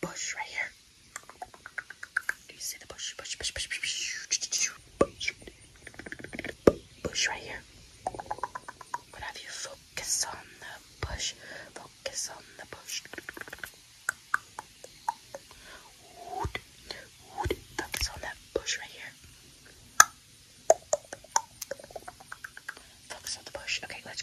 bush right here. Do you see the bush? Bush, bush, bush, bush, bush, bush right here. But have you focus on the bush? Focus on the bush. Wood, wood. Focus on that bush right here. Focus on the bush. Okay, let's.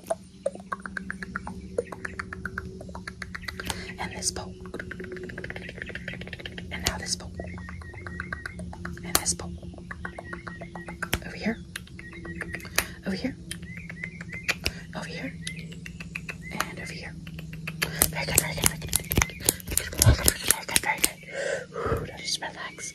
And this boat. And now this boat. And this boat. Over here. Over here. Over here. And over here. Very good, very good, very good. Very good, very good, very good, very good. Ooh, now just relax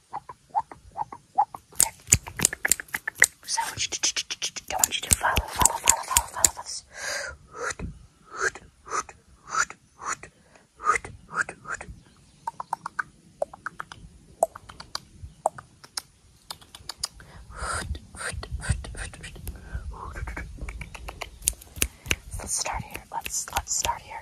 So I want you to, I want you to follow, follow, follow, follow, follow, follow Let's start here. Let's let's start here.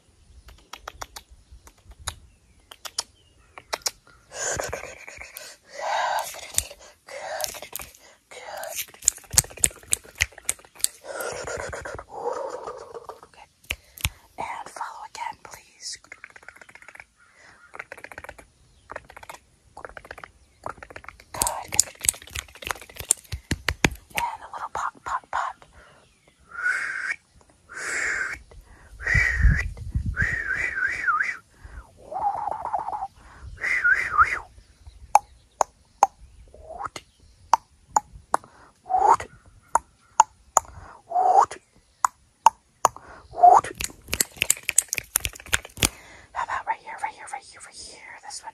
And follow again, please. And a little pop, pop, pop. How about right here, right here, right here, right here? This one.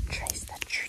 Okay, let's trace, trace that tree.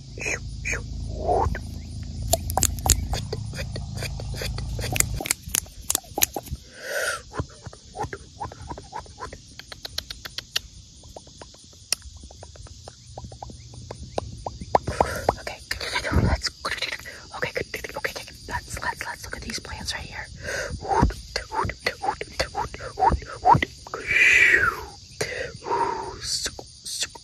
Okay, let's okay, okay, okay, let's let's let's look at these plants right here. Ooh,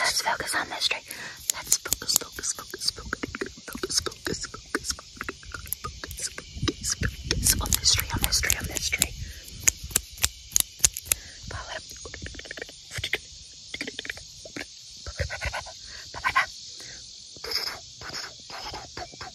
Let's focus on this tree. Let's focus, focus, focus, focus, focus, focus, focus, focus, focus, focus on this tree, on this tree, on this tree. Follow.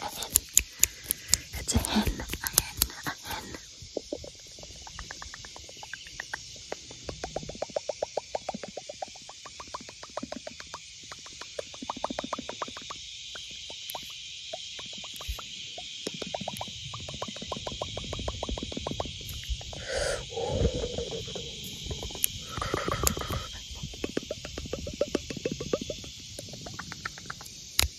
a hen. It's a hen, a hen, a hen.